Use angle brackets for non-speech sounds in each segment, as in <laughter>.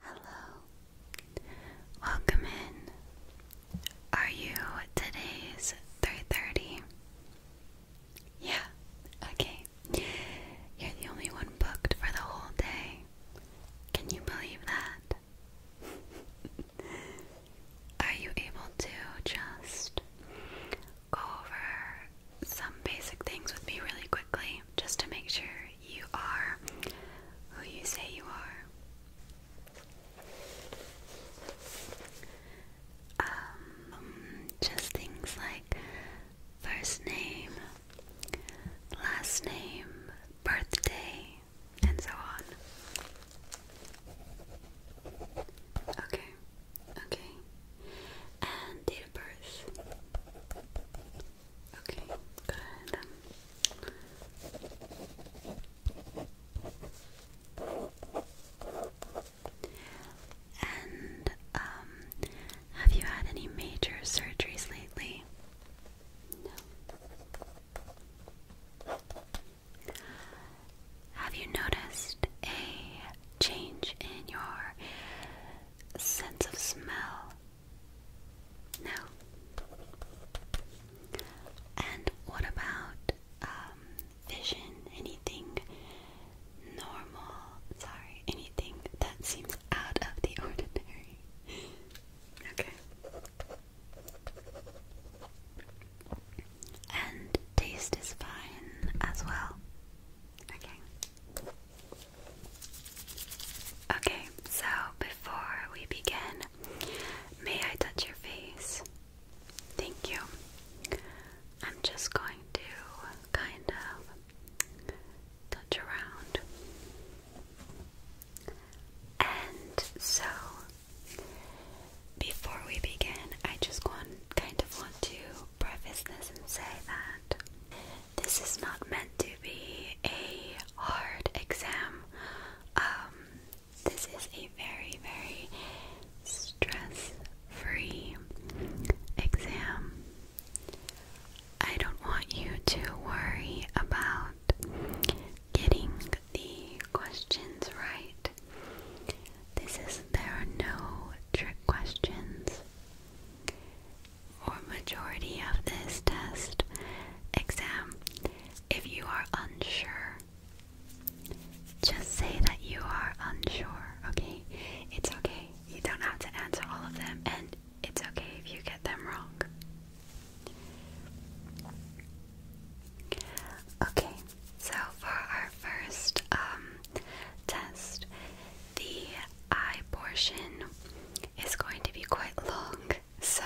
Hello. Welcome in. Are you today's 3:30? Yeah. Okay. You're the only one booked for the whole day. Can you believe that? <laughs> Are you able to just go over some basic things with me really quickly just to make sure you are who you say you are. Um, just things like first name, last name, birthday, and so on. Okay, okay. And date of birth. Okay, good. And um have you had any major surgeries lately? No. Have you noticed a change in your sense of smell no. And what about um, vision? Anything normal? Sorry, anything that seems out of the <laughs> ordinary. okay. And taste is fine as well. Okay. Okay, so before we begin, may I touch your face? Thank you. I'm just going to kind of touch around. And so, before we begin, I just want kind of want to preface this and say that this is not meant to be a hard exam. Um, this is a very, very stress free exam. I don't want you to worry about getting the questions right. there are no trick questions or majority of this test exam. If you are unsure, just say that you are unsure, okay? It's okay. You don't have to answer all of them, and it's okay if you get them wrong. Okay, so for our first um, test, the eye portion is going to be quite long. So,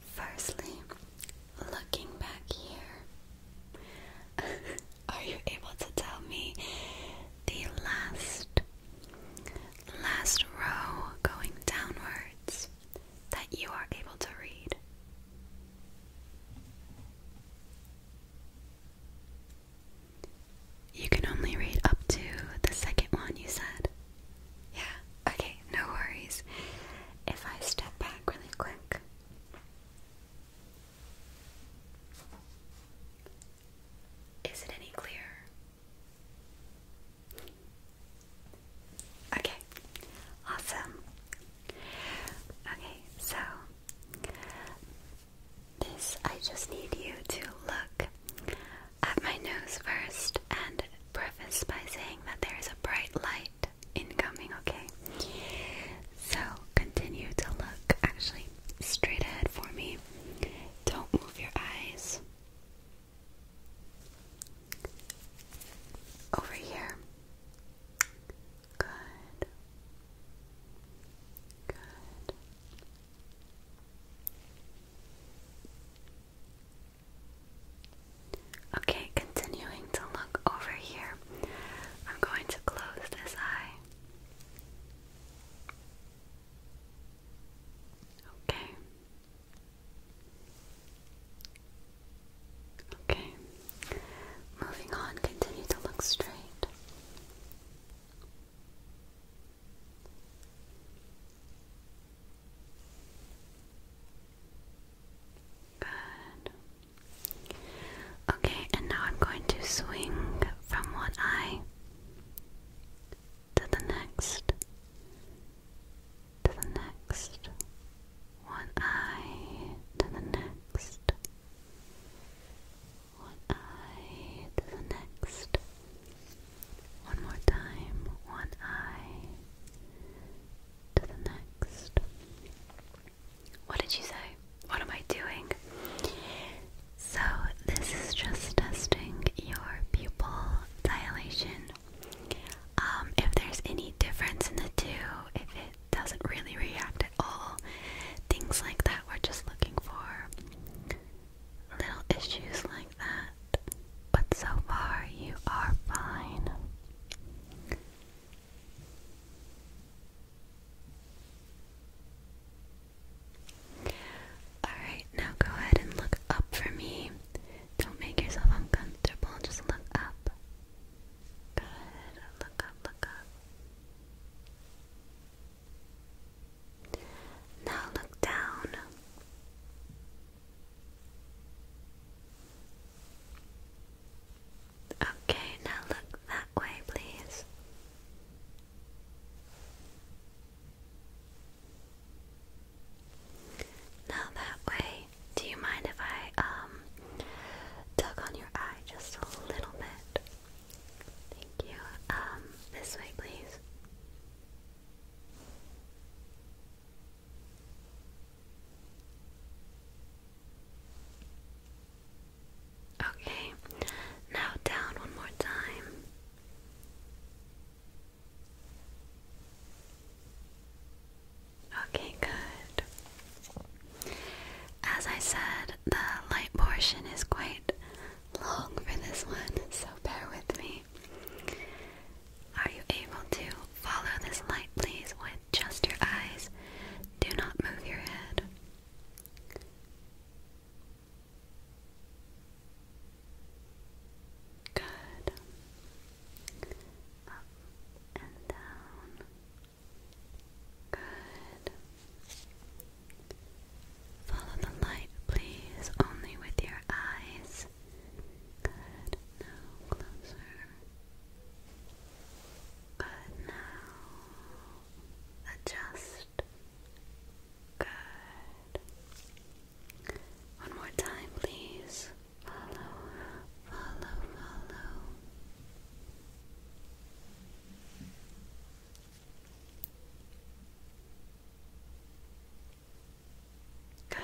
firstly, looking back here, <laughs> are you able to tell me the last last row going downwards that you are able to read? You can only read up to the second one, you said? Yeah, okay, no worries. If I step back really quick. Is it any clearer? Okay, awesome. Okay, so this I just need you to look at my nose first and preface by saying that there is a bright light incoming, okay? So continue to look actually straight ahead for me. Don't move your eyes. Over here. Good. Good. Okay, continuing to look over here, I'm going to close this eye. Okay. Okay. Moving on, continue to look straight. Good. Okay, and now I'm going to swing from one eye to the next, to the next, one eye to the next, one eye to the next. One more time, one eye to the next. What did you say? What am I doing? So, this is just testing your pupil dilation. Um, if there's any difference in the two, if it doesn't really react at all, things like that we're just looking for little issues like that, but so far you are fine. Alright, now go ahead and look up for me. Don't make yourself uncomfortable, just look up. Good, look up, look up. Now look down. Okay, now look that way, please. Now that way. Do you mind if I um, tug on your eye just a little bit? Thank you. Um, this way, please. Okay, now down one more time. Okay, good. As I said, the light portion is quite long for this one, so bear with me. Are you able to follow this light, please, with just your eyes? Do not move your head. Good. Up and down. Good. Follow the light, please, only with your eyes. Good. Now closer. Good. Now adjust. Good. One more time, please. Follow, follow, follow. Good.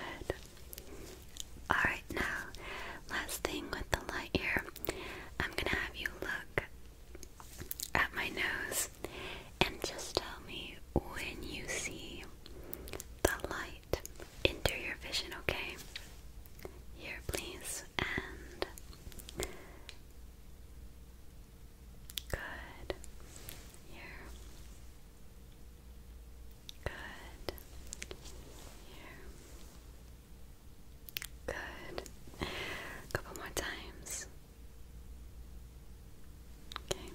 Alright, now, last thing with the light here, I'm gonna have you look at my nose and just tell me when you see the light enter your vision, okay? Here, please, and Good. Here. Good. Here. Good. A couple more times. Okay.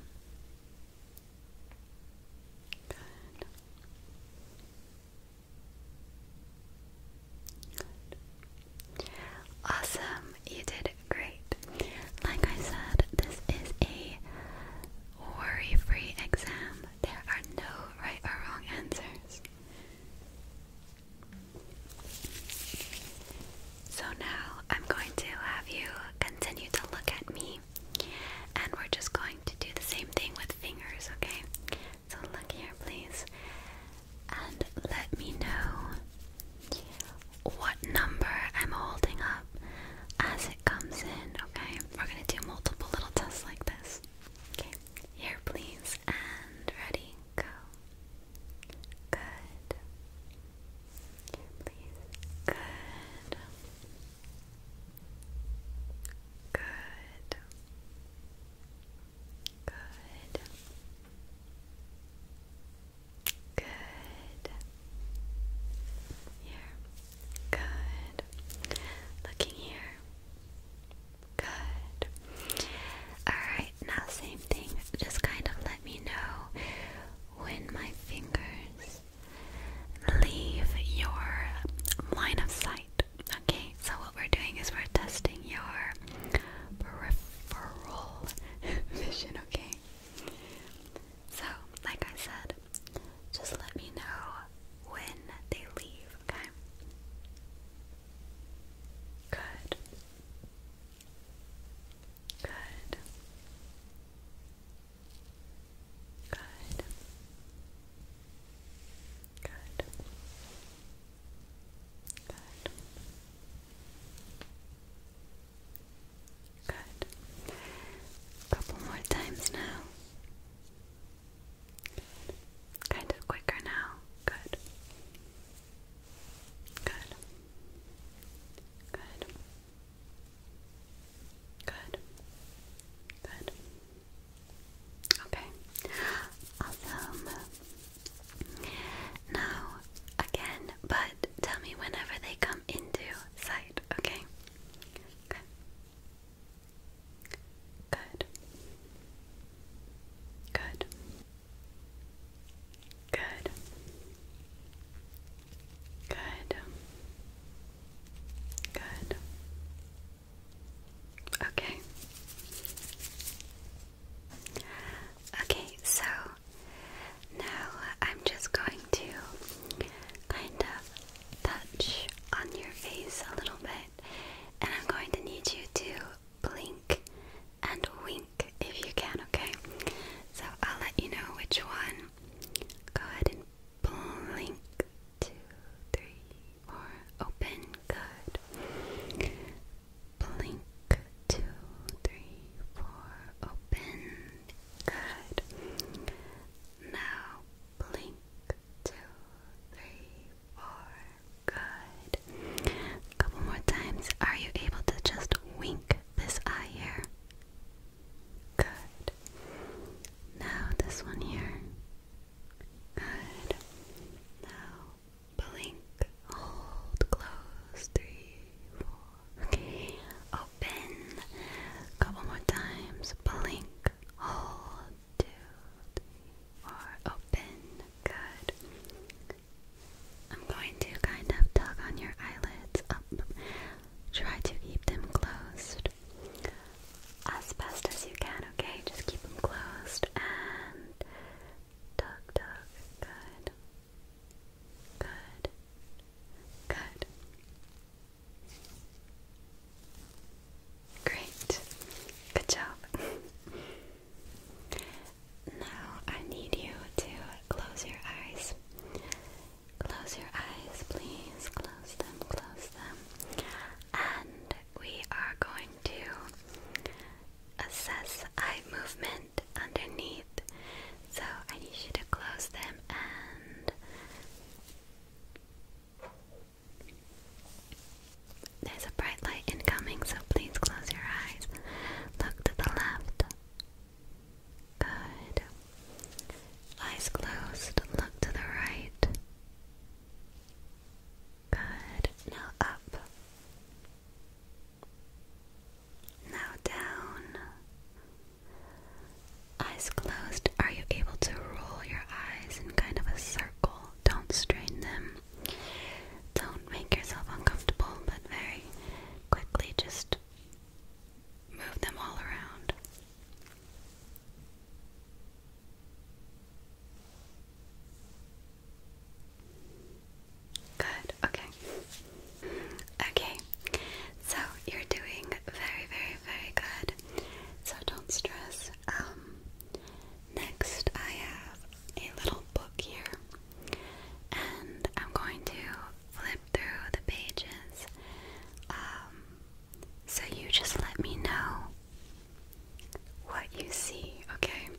Good. Good. Awesome, you did great. Like I said, this is a worry free exam. There are no right or wrong answers. So now I'm going to have you continue to look at me, and we're just going to do the same thing with fingers, okay? So look here, please, and let me know what number I'm holding up as it comes in, okay? We're gonna do multiple little tests like this. Okay, here please, and ready, go. Good. Here please, good. Good. Good. Good. Here. Good. Looking here. Good. Alright, now same thing. Just kind of let me know when my fingers leave your line of sight. Okay, so what we're doing is we're testing your peripheral <laughs> vision, okay? So, like I said, just let me know when they leave, okay? Good. Good. Good. Good. Good. Good. couple more times now. Kind of quicker now. Good. Good. Good. Good. Good. Okay. i now, again, but tell me whenever they come into sight, Okay. Good. Good. Good. Good. Good. Okay. Okay, so now I'm just going to kind of touch on your face a little bit, and I'm going to need you to blink and wink if you can, okay? So I'll let you know which one. Go ahead and blink. Two, three, four. Open. Good blink two, three, four, open. Good. Now blink two, three, four. Good. A couple more times. Are you able to just wink this eye here? Good. Now this one here. Good. Now blink, hold, close, three, four, okay, open, couple more times, blink, hold, two, three, four, open, good. I'm going to kind of tug on your eyelids up, try to keep them closed as best as you can, okay? Just keep them closed and tug, tug, good. Good. Good. Great. Good job. now I need you to close your eyes. Close your eyes, please. Close them, close them. And we are going to assess eye movement underneath. So I need you to close them and there's a bright light incoming, so please close your eyes. Look to the left. Good. Eyes closed. Look to the right. Good. Now up. Now down. Eyes closed. Are you able to roll your eyes in kind of a circle? Don't strain them. Don't make yourself uncomfortable, but very quickly just move them all around. Good, okay. Okay, so you're doing very, very, very good. So don't stress. Um, next, I have a little book here, and I'm going to flip through the pages. Um, so you just let me know what you see, okay?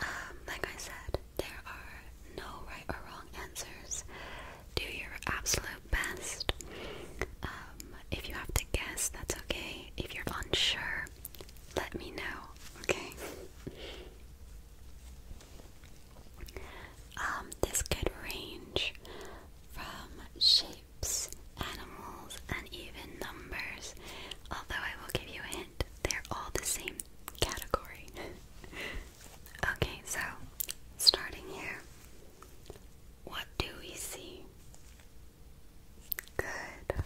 Um, like I said, there are no right or wrong answers. Do your absolute best. Um, if you have to guess, that's okay. If you're unsure, let me know, okay? Um, this could range from shapes, animals, and even numbers. Although I will give you a hint, they're all the same category. <laughs> okay, so starting here, what do we see? Good.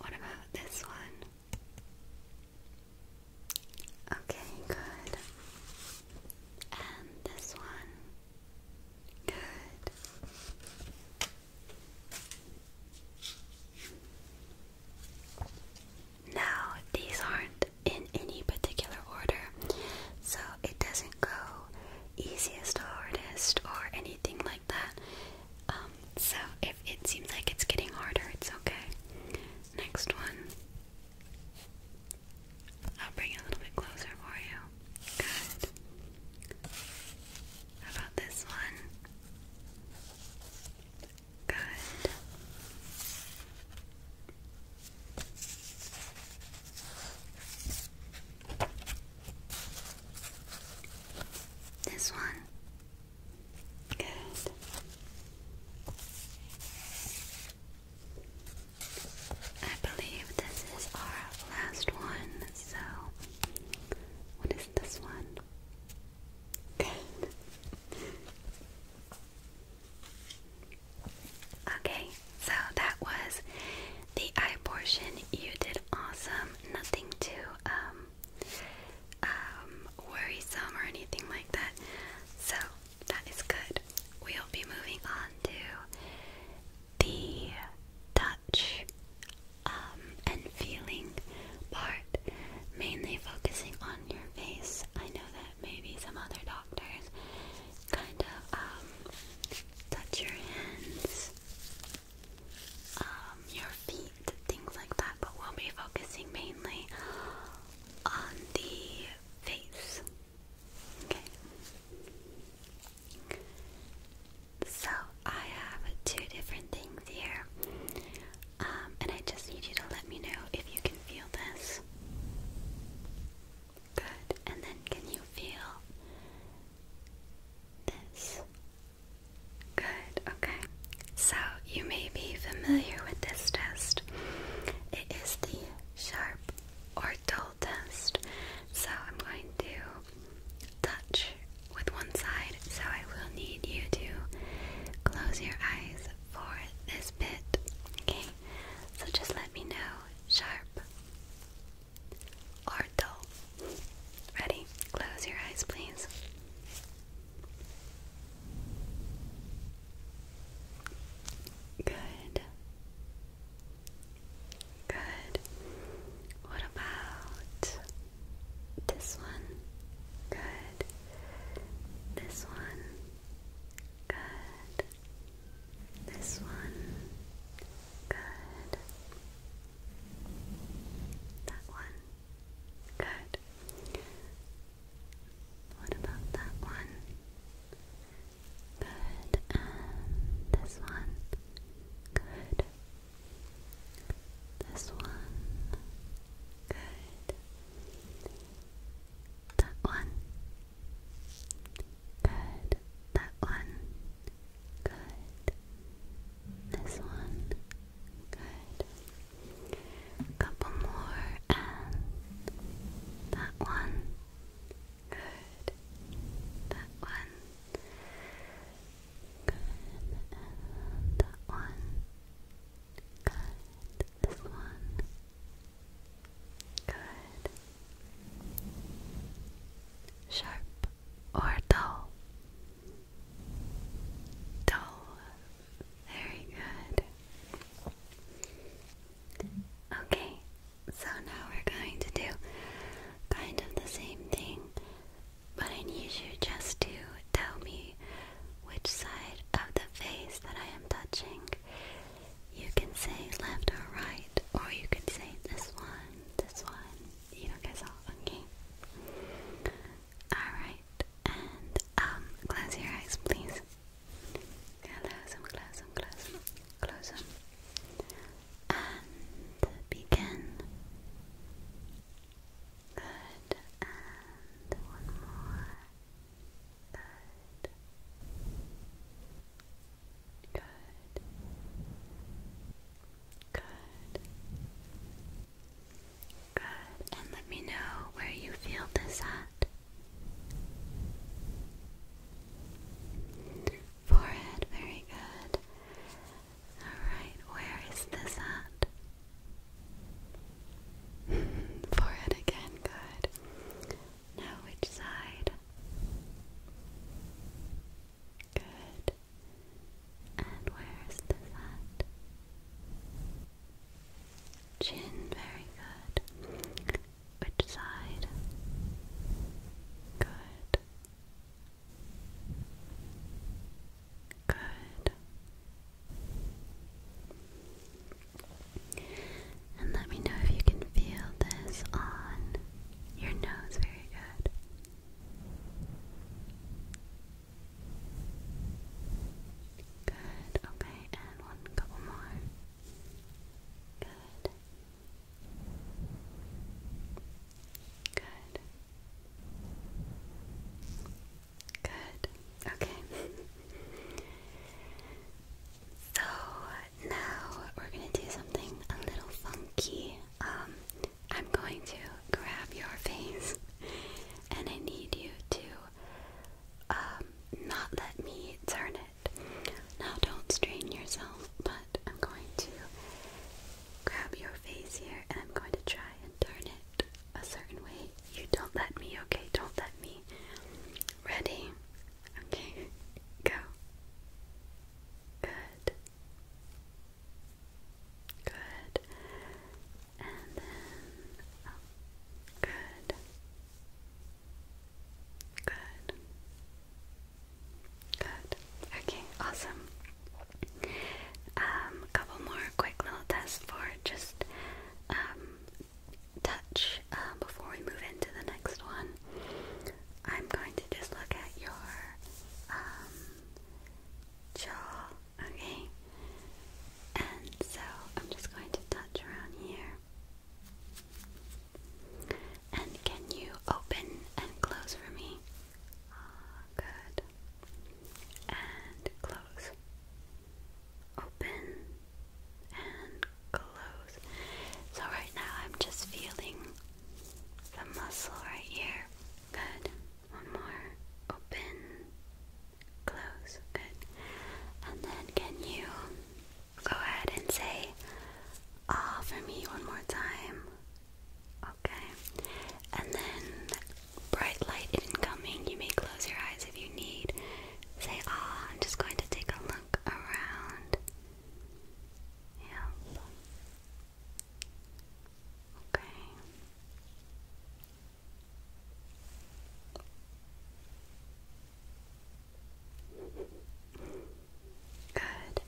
What about this one? Okay, good. And this one? Good. Now, these aren't in any particular order, so it doesn't go easiest to hardest or anything like that. Um, so, if it seems like it's getting harder, it's okay. Next one, I'll bring it a little bit closer for you. Good. about this one? Good. This one. Good. I believe this is our last one. So, what is this one? okay, so that was the eye portion. You did awesome. Nothing too um, um, worrisome or anything like that. So that is good. We'll be moving on to the touch um, and feeling part, mainly focusing on your face. I know that maybe some other doctors kind of um, touch your hands, um, your feet, things like that, but we'll be focusing mainly on the face. Okay. So I have two different things here, um, and I just need you to let me know if you can feel this. Good, and then can you feel this? Good, okay. So you may be familiar with this test. It is the sharp or dull test. So I'm going to touch with one side, so I will need you to close your eyes for this bit. Okay, so just let me know sharp or dull. Ready? Close your eyes, please. Good. Good. What about this one. Good. This one. Good. This one. Good. That one. Good. What about that one? Good. this one. Good. This one. Good. That one. Good. That one. Good. This one. Good. Couple more and that one. Good. That one. Good, that one. Good, this one. Good. Sharp or dull? Dull. Very good. Okay, so now we're going to do kind of the same thing but I need you just to tell me which side of the face that I am touching. You can say left or right, or you can say this one, this one. You don't guess all, okay? Alright, and um, close your eyes, please. Close them, close them, close them, And begin. Good. And one more. Good. Good. Good. Good. And let me know where you feel this at. Forehead, very good. Alright, where is this at? <laughs> Forehead again, good. Now which side? Good. And where is this at? Chin, very good. Which side? Good. Good. And let me know if you can feel this on your nose. Very good. Good. Okay, and one couple more. Good. Good. Good. Okay. so now we're gonna do something a little funky. Um, I'm going to grab your face, and I need you to um not let me turn it. Now, don't strain yourself, but I'm going to grab your face here, and I'm going to try turn it a certain way. You don't let me, okay? Don't let me. Ready? Okay, go. Good. Good. And then oh, Good. Good. Good. Okay, awesome. Um, a couple more quick little tests for just um, touch uh, before we move into the next one. I'm going to just look at your um, jaw, okay? And so I'm just going to touch around here. And can you open and close for me? good and close. Open and close. So, right now I'm just feeling the muscle right here. Good. One more. Open, close. Good. And then, can you go ahead and say ah for me one more time? Okay. And then bright light incoming. You may close your eyes if you need. Say, ah, I'm just going to take a look around. Yep. Okay. Good.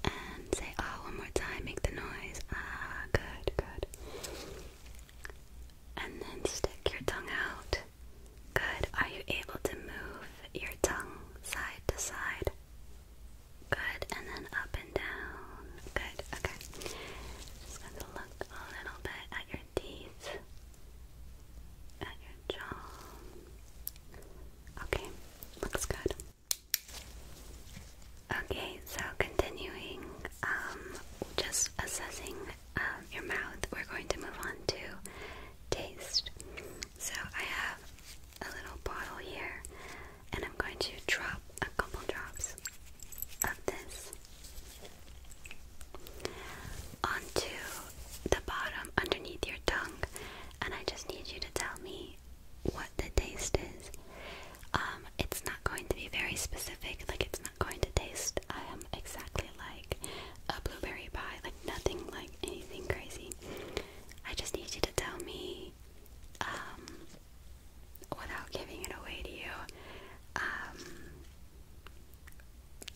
And say ah one more time. Make the noise. Ah, good, good, and then stick your tongue out. Good. Are you able to move your tongue side to side? Good. And then up and down. Good. Okay. Just going to look a little bit at your teeth, at your jaw. Okay. Looks good. Okay, so continuing, um, just assessing um, your mouth, we're going to move on to taste. So I have a little bottle here, and I'm going to drop a couple drops of this onto the bottom underneath your tongue, and I just need you to tell me what the taste is. Um, it's not going to be very specific, like it's not going to taste um, exactly like a blueberry pie, like nothing like anything crazy. I just need you to tell me um, without giving it away to you. Um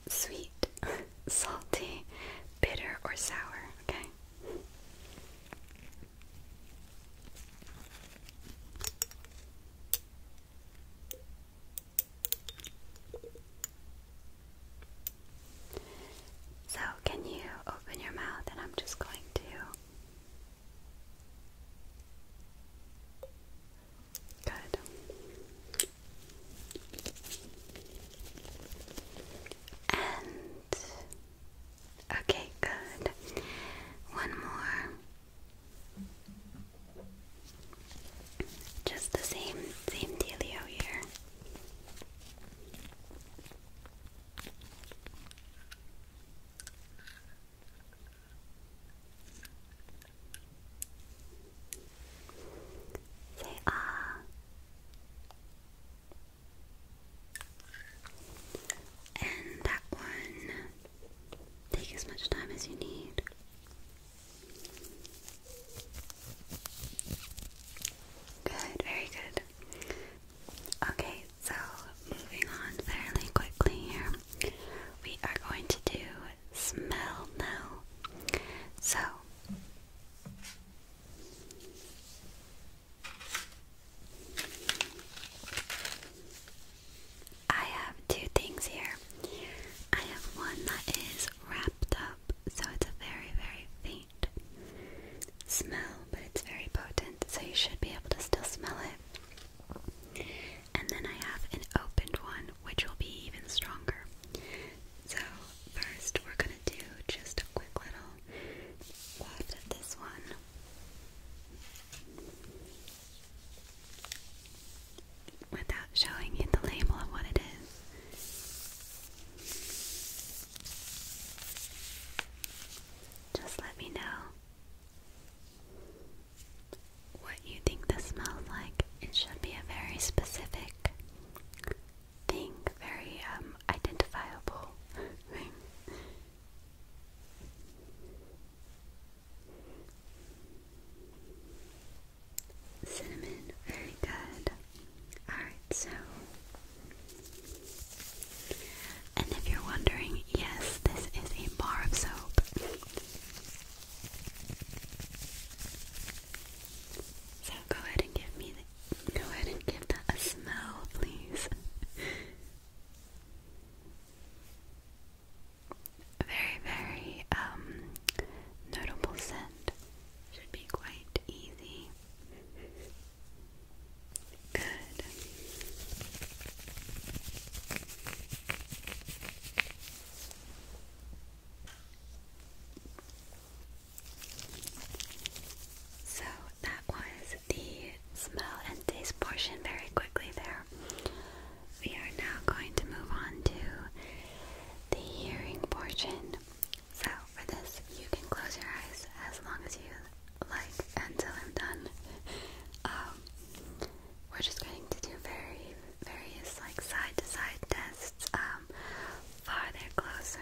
sweet, <laughs> salty, bitter or sour, okay? So, can you open your mouth? And I'm just going to Good. And Okay, good. One more. Just the same, same dealio here. Say ah. And that one, take as much time as you need. Good, very good. Okay, so moving on fairly quickly here, we are going to do smell now. So, I have two things here. I have one that is wrapped up, so it's a very, very faint smell, but it's very potent, so you should be able to still smell it. And then I have an opened one, which will be even stronger. So, first, we're gonna do just a quick little waft of this one without showing you the label of what it is. Just let me know what you think this smells like. It should be a very specific thing, very um, identifiable thing. <laughs> Cinnamon, very good. Alright, so. And if you're wondering, yes, this is a bar of soap. So go ahead and give me Go ahead and give that a smell, please. Very, very um, notable scent. Should be quite easy. Good. So that was the smell and taste portion very quickly there. We are now going to move on to the hearing portion. So, for this, you can close your eyes as long as you like until I'm done. <laughs> Um, we're just going to do very various like side to side tests. Um, farther, closer,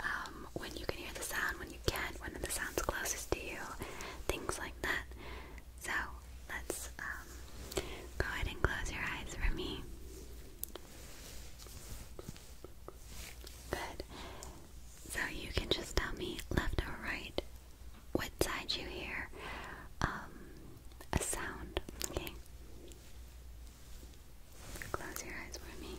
um, when you can hear the sound, when you can't, when the sound's closest to you, things like that. So let's um, go ahead and close your eyes for me. Good. So you can just tell me left or right, what side you hear um, a sound. Okay. Close your eyes for me.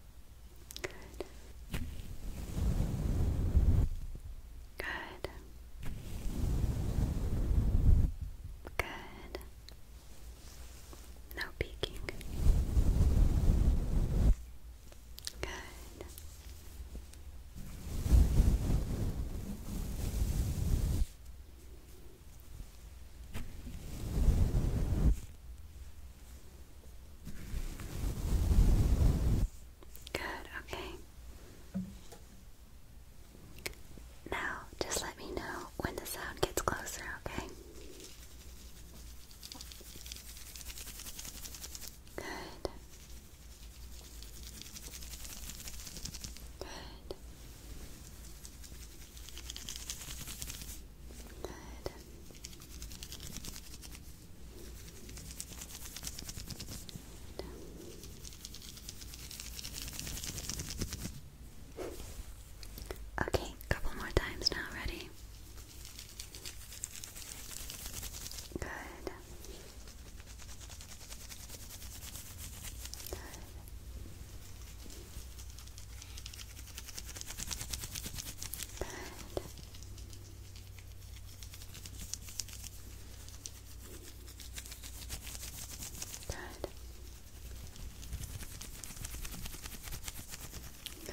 Good. Good. Good. No peeking. Good. Good, okay. Now, just let me know when the sound gets closer, okay? Good. Good. Good. Good. Okay, couple more times now, ready? Good. Good. Good. Good. Good.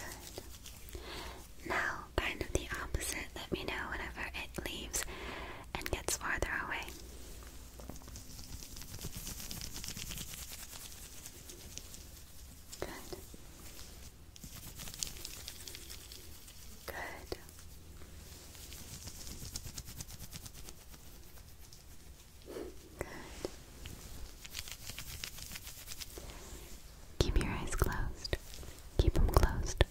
Good. Now, kind of the opposite. Let me know whenever it leaves and gets farther away. Good. Good. Good. Keep your eyes closed. Keep them closed.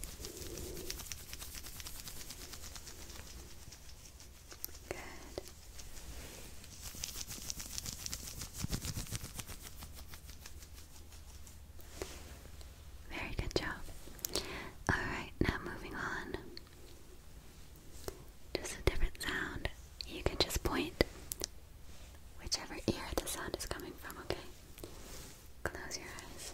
Very good job. Alright, now moving on. Just a different sound. You can just point whichever ear the sound is coming from, okay? Close your eyes.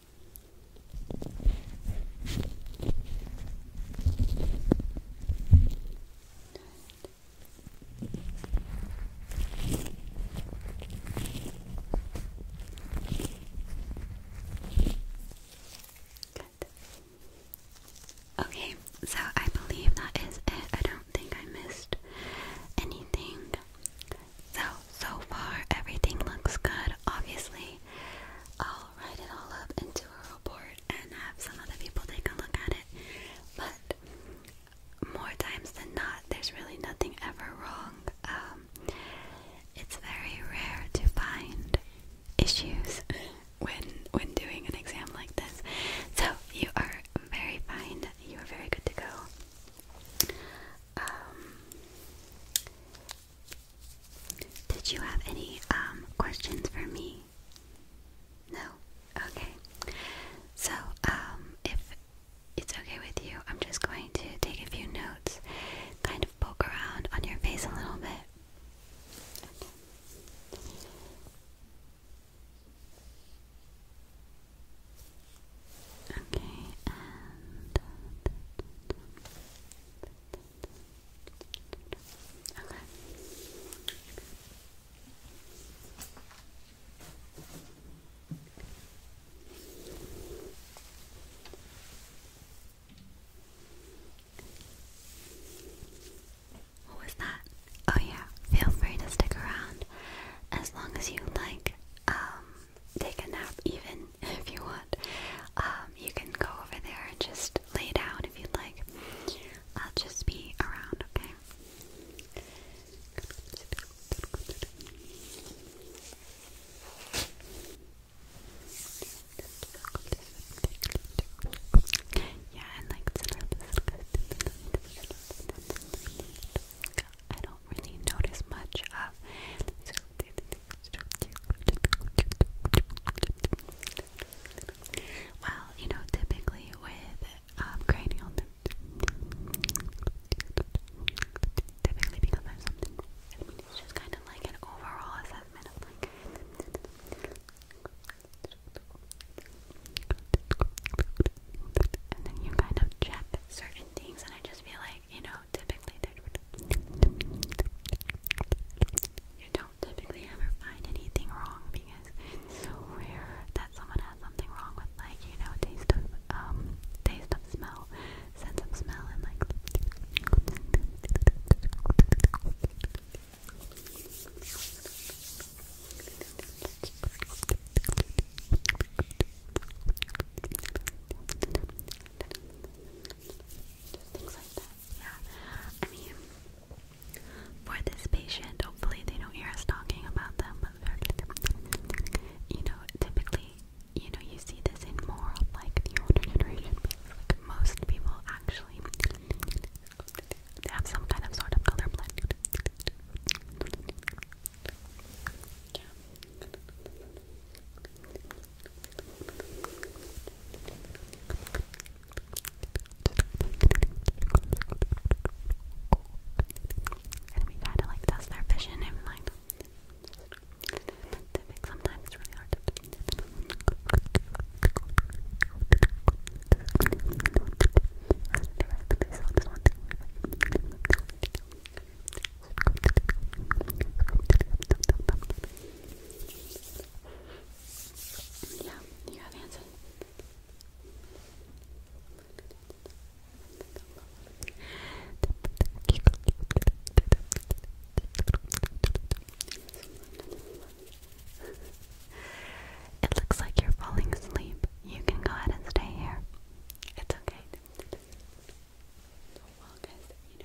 Good. Okay, so I believe that is it. I don't think I missed anything. So so far everything looks good. Obviously, I'll write it all up into a report and have some other people take a look at it. But more times than not, there's really nothing ever wrong. Um, it's very rare to find issues <laughs> when when doing an exam like this. So you are very fine. You are very good to go. Um, did you have any um, questions for me? No? Okay. So, um, if it's okay with you, I'm just going to take a few notes, kind of poke around on your face a little bit. Okay. Okay, Okay. What was that? Oh yeah, feel free to stick around as long as you like um, take a nap even if you want. you can go over there and just lay down if you'd like. I'll just be around, okay? Yeah, and like I don't really notice much of well, you know, typically with um, cranial, typically because I have something, I mean, it's just kind of like an overall assessment of like. And then you kind of check certain things, and I just feel like, you know, typically you don't typically ever find anything wrong because it's rare that someone has something wrong with like you know taste um taste of smell, sense of smell, and like just things like that. Yeah, I mean, for this patient, hopefully they don't hear us talking about them. You know, typically, you know, you see this in more of like the older generation. Like most people actually have some kind of sort of colorblind. Yeah. And we kind of like test our vision and like sometimes it's really hard yeah, you have answered. It looks like you're falling asleep. You can go ahead and stay here. It's okay.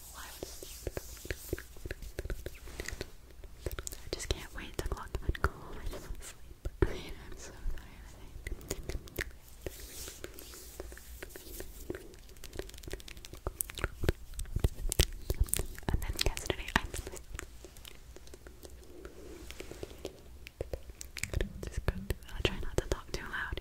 I just can't wait to clock on call. <laughs> I just want to sleep. I am so tired. And then yesterday, I try not to talk too loud.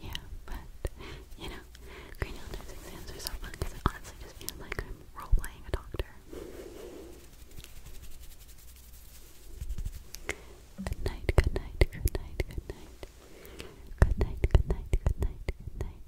Yeah, but you know, green exams are so fun because I honestly just feel like I'm role a doctor. Good night, good night, good night, good night. Good night, good night, good night, good night.